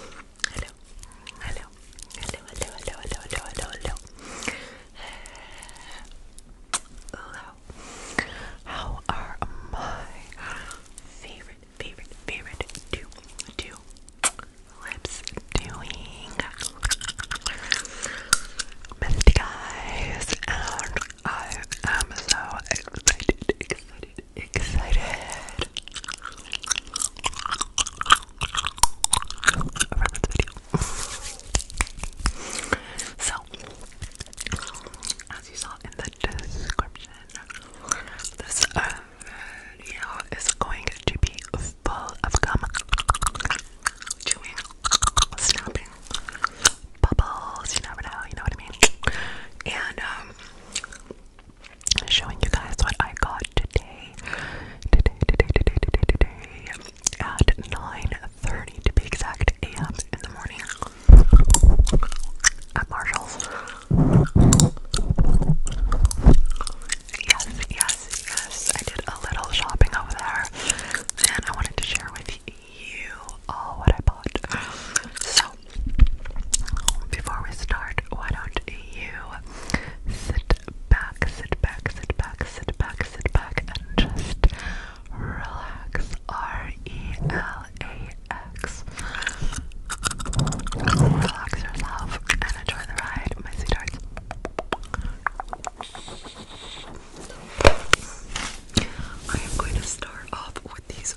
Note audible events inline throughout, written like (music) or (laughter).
Hello, hello, hello, hello, hello, hello, hello, hello, How are my favorite, favorite, favorite two, two lips doing? Missed guys, and I am so excited, excited, excited so, as you saw in the description, this uh, video is going to be full of gum, chewing, snapping, bubbles. You never know. You know what I mean. And um showing you guys what I got today. Today, today, today, today, today. At 9.30 to be exact a.m. in the morning. At Marshall's. Yes, yes, yes. I did a little shopping over there. And I wanted to share with you all what I bought. So before we start, why don't you sit back, sit back, sit back, sit back, sit back, and just relax. R E L A X. Relax yourself and enjoy the ride, my sweethearts. I am going to start off with these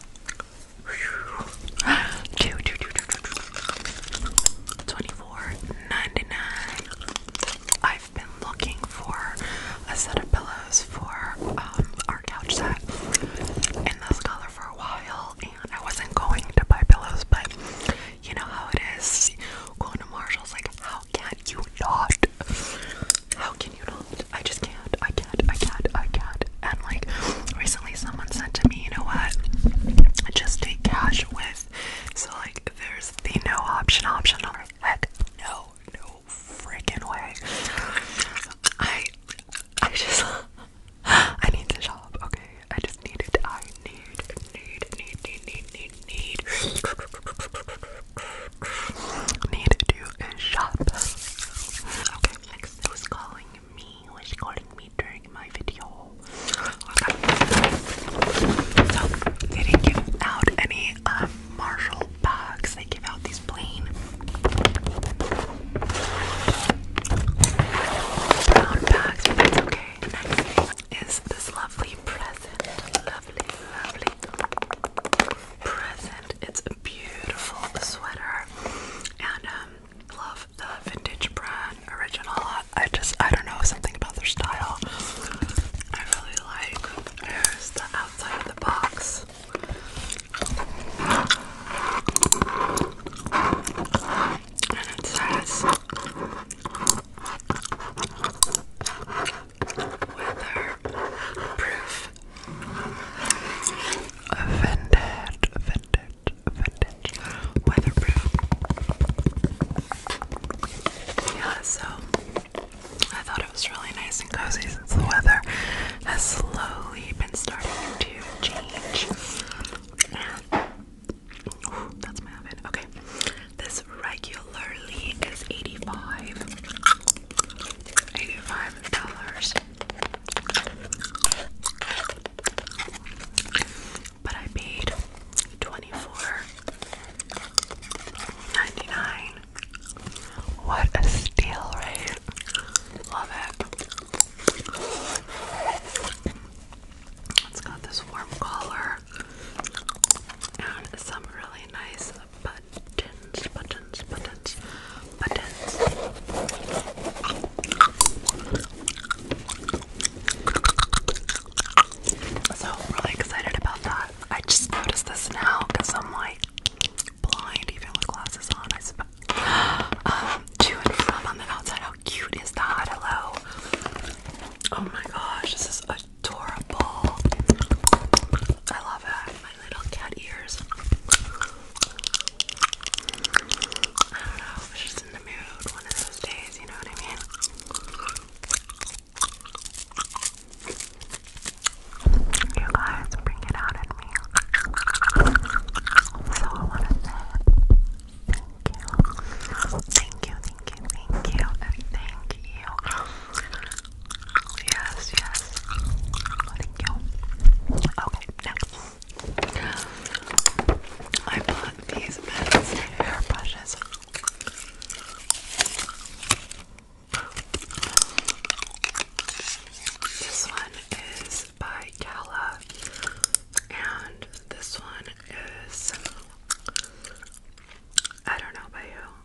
Two, two, two, two, two, two. Twenty-four ninety-nine. I've been looking for a set of pillows for um, our couch set in this color for a while, and I wasn't going to buy pillows, but you know how it is. Going to Marshalls, like, how can you not? How can you not? I just can't. I can't. I can't. I can't. And like recently, someone said to me, you know what? Just take cash with. So like, there's the no option option. Or heck, no, no freaking way. I, I just, I need to shop. Okay, I just need it. I need, need, need, need, need, need, need. (sighs) need to do a shop. Okay, next was calling me. Was calling me during my video. So they didn't give out any uh, Marshall bags. They give out these plain brown bags, okay. next is this lovely present. Lovely, lovely present. It's a beautiful sweater, and um, love the vintage brand original. I just I don't know something about their style. I really like. Here's the outside of the box. And it says weatherproof. Vented, vented, vented, weatherproof. Yeah, so I thought it was really nice and cozy since the weather has slowly been starting to change. that's my oven. Okay, this regularly is 85. $85. But I paid 24 What a steal, right? Love it. It's got this warm collar and some really nice buttons, buttons, buttons, buttons. So really excited about that. I just noticed this now because I'm like blind even with glasses on. I suppose. (gasps) Um, to and from on the outside. How cute is that? Hello. Oh my gosh, this is adorable. I love it. My little cat ears. I don't know. I was just in the mood one of those days, you know what I mean? You guys bring it out at me. So I want to say thank you. Thank you, thank you, thank you, thank you Yes, yes. Thank you. Okay, next. I bought these men's hair brushes. This one is by Gala, and this one is I don't know by who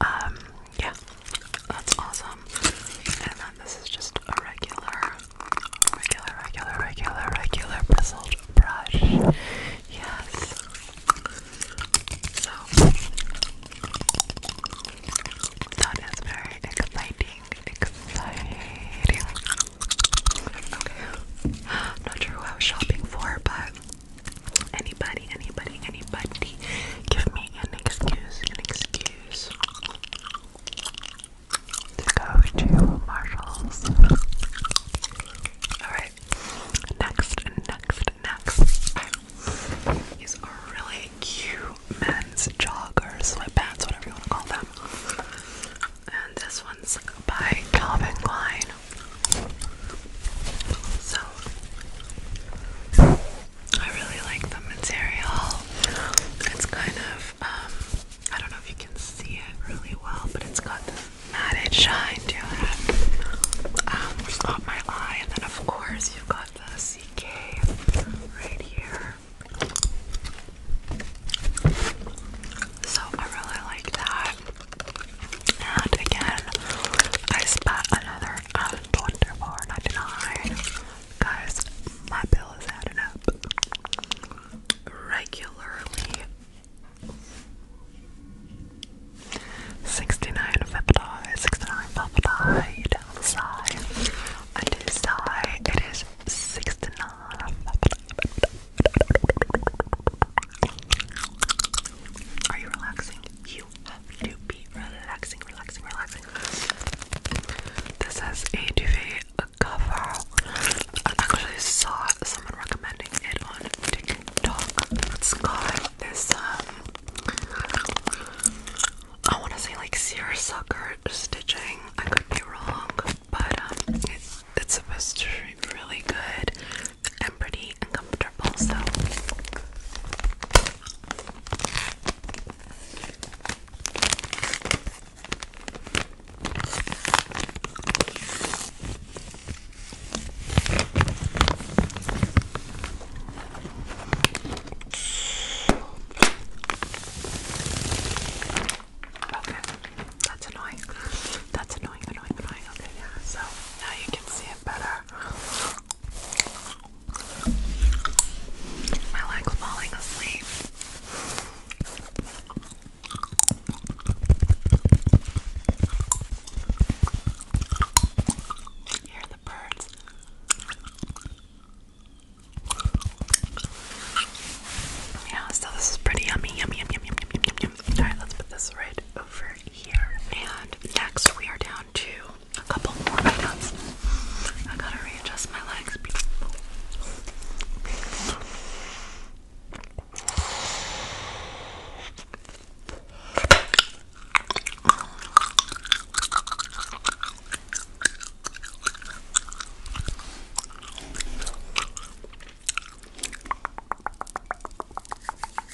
Um, yeah, that's awesome. And then this is just a regular, regular, regular, regular, regular bristled brush. Yes. So that is very exciting. Exciting. Okay. (gasps) Not sure who I was shopping for, but anybody, anybody, anybody somebody give me an excuse, an excuse to go to Marshalls. Alright, next, next, next is a really cute men's joggers, sweatpants, whatever you want to call them. And this one's by Calvin Klein. So I really like the material. It's kind of, um, I don't know if you can see it really well, but it's got the matte shine to it. Um, my eye, and then of course you've got the CK right here. So I really like that. And again, I spot another and um, Guys, my bill is adding up regularly. Sixty-nine fifty, sixty-nine fifty down the side. On this side, it is sixty-nine fifty. Are you relaxing? relaxing, relaxing, relaxing. This is a duvet cover. I actually saw someone recommending it on TikTok. It's got this um I wanna say like seersucker stitching. I could be wrong, but um it's supposed to be really good pretty and so Okay, that's annoying. That's annoying, annoying, annoying. Okay, yeah. So now you can see it better. I like falling asleep. Hear the birds. Yeah, so this is pretty yummy, yummy, yum, yum, yum, yum, yum, Alright, let's put this right over and next, we are down to a couple more items. I gotta readjust my legs.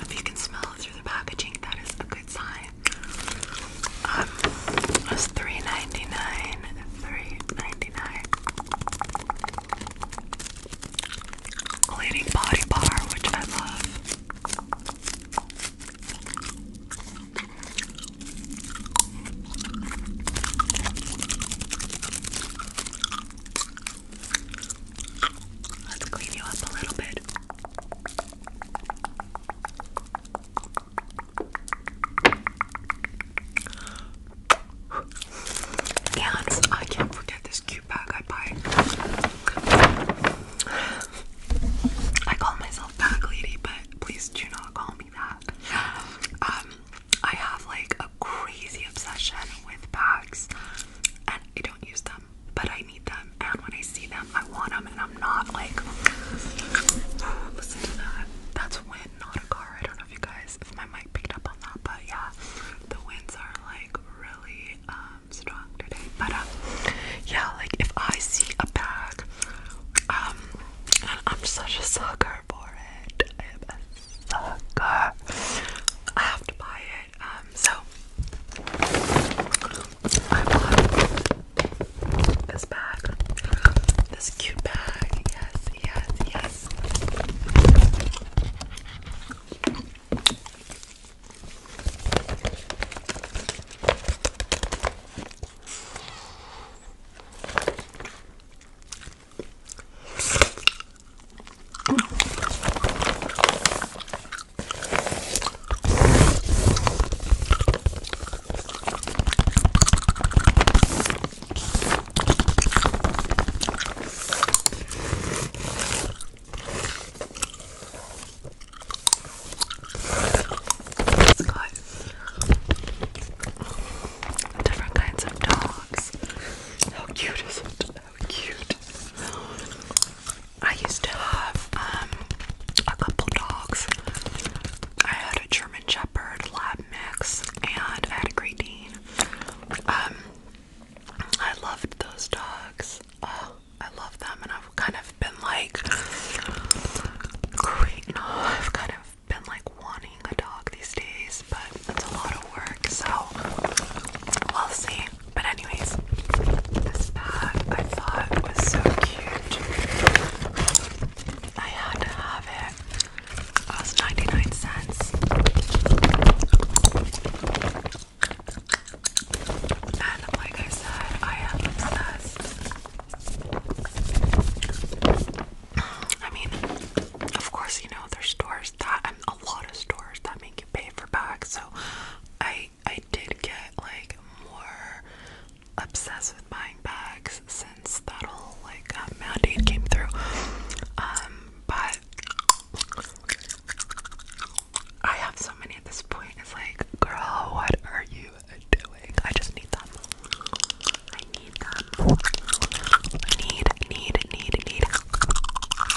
If you can smell through the packaging, that is a good sign. Um, it was three ninety nine. Three ninety nine. Cleaning body bar, which I love. Let's clean you up a little bit. And I can't forget this cute bag I buy. I call myself bag lady, but please do not call me that. Um, I have like a crazy obsession with bags, and I don't use them but I need them. And when I see them, I want them, and I'm not like, (sighs) listen to that. That's wind, not a car. I don't know if you guys, my mic picked up on that, but yeah, the winds are like really um, strong today. But um, yeah, like if I see a bag, um, and I'm such a sucker for it. I am a sucker. I have to buy it. Um, so I bought this bag, this cute bag. Yes, yes, yes. It's got different kinds of dogs. How cute is it? cute. I used to have um, a couple dogs. I had a German Shepherd lab mix and I had a Great Dane. Um, I loved those dogs. Oh, I love them and I've kind of been like I've kind of been like wanting a dog these days, but that's a lot of work, so we'll see. But anyways, this bag I thought was so cute. I had to have it. It was 99 cents. And like I said, I am obsessed. I mean, of course, you know, there's stores that, and a lot of stores that make you pay for bags. So I I did get like more obsessed with buying bags since that whole like um, mandate came through. Um, but I have so many at this point. It's like, girl, what are you doing? I just need them. I need them. Need, need, need, need. Need,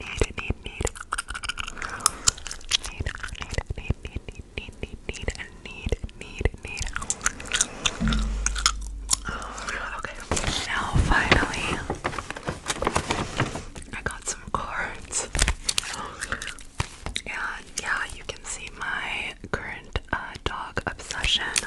need, need. Need, need, need, need, need, need, need, need, need, need. Oh, okay. Now, finally, I got some cards. And yeah, you can see my current uh, dog obsession.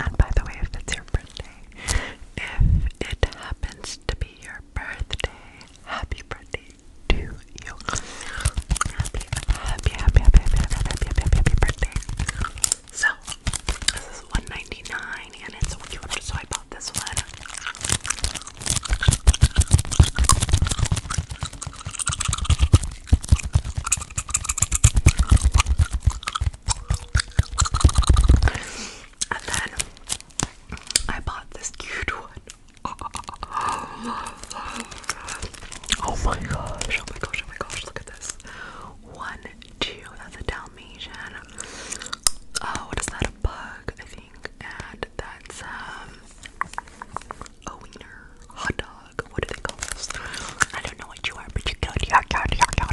And by the way, if it's your birthday, if it happens to be your birthday, happy birthday to you. Happy, happy, happy, happy, happy, happy, happy, happy, birthday. So, this is $1.99 and it's cute, so I bought this one. And then I bought this cute one. (gasps) Oh my gosh, oh my gosh, oh my gosh, look at this. One, two, that's a Dalmatian. Oh, what is that? A bug, I think. And that's um a wiener. Hot dog. I don't know what you are, but you're cute. You're cute. You're a card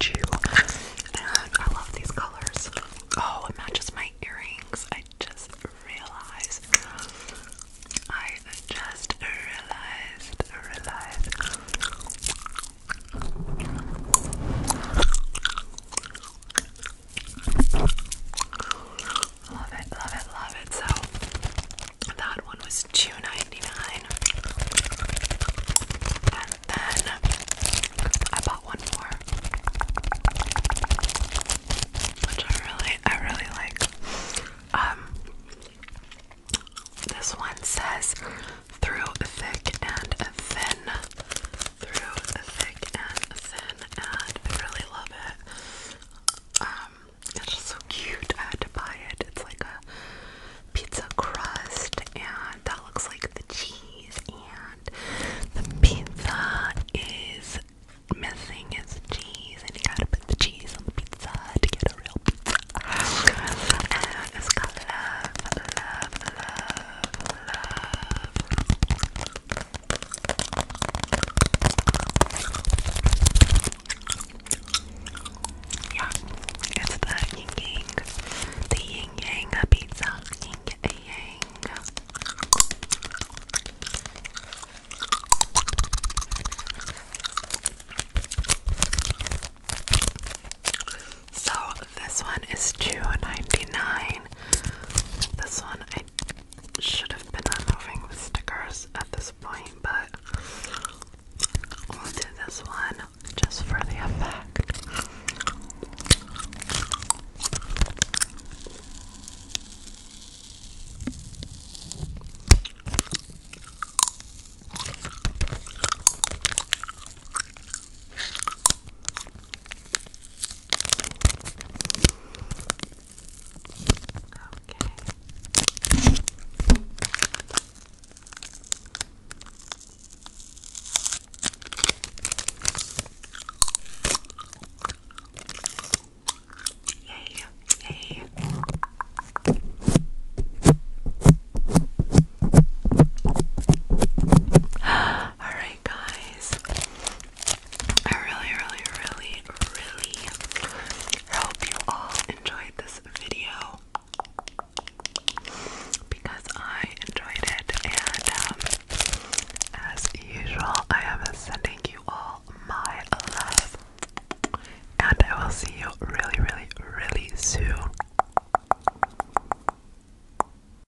to and I love these colors. Oh, it matches my earrings. I just realized. I just Realized. Love it, love it, love it. So that one was two ninety nine, And then I bought one more. Which I really, I really like. Um this one says through thick and thin through thick and thin, and I really love it. Um, it's just so cute. I had to buy it. It's like a pizza crust, and that looks like the cheese, and the pizza is missing its cheese, and you gotta put the cheese on the pizza to get a real pizza. And it's got love, love, love, love. Yeah, it's the yin yang, the yin yang pizza, yin yang. So this one is two ninety nine. This one should have been removing the stickers at this point, but we'll this one just for the effect. Yay, yay. (gasps) (gasps) (gasps) Alright, guys. I really, really, really, really hope you all enjoyed this video because I enjoyed it. And um, as usual, I am sending you all my love. And I will see you really, really, really soon.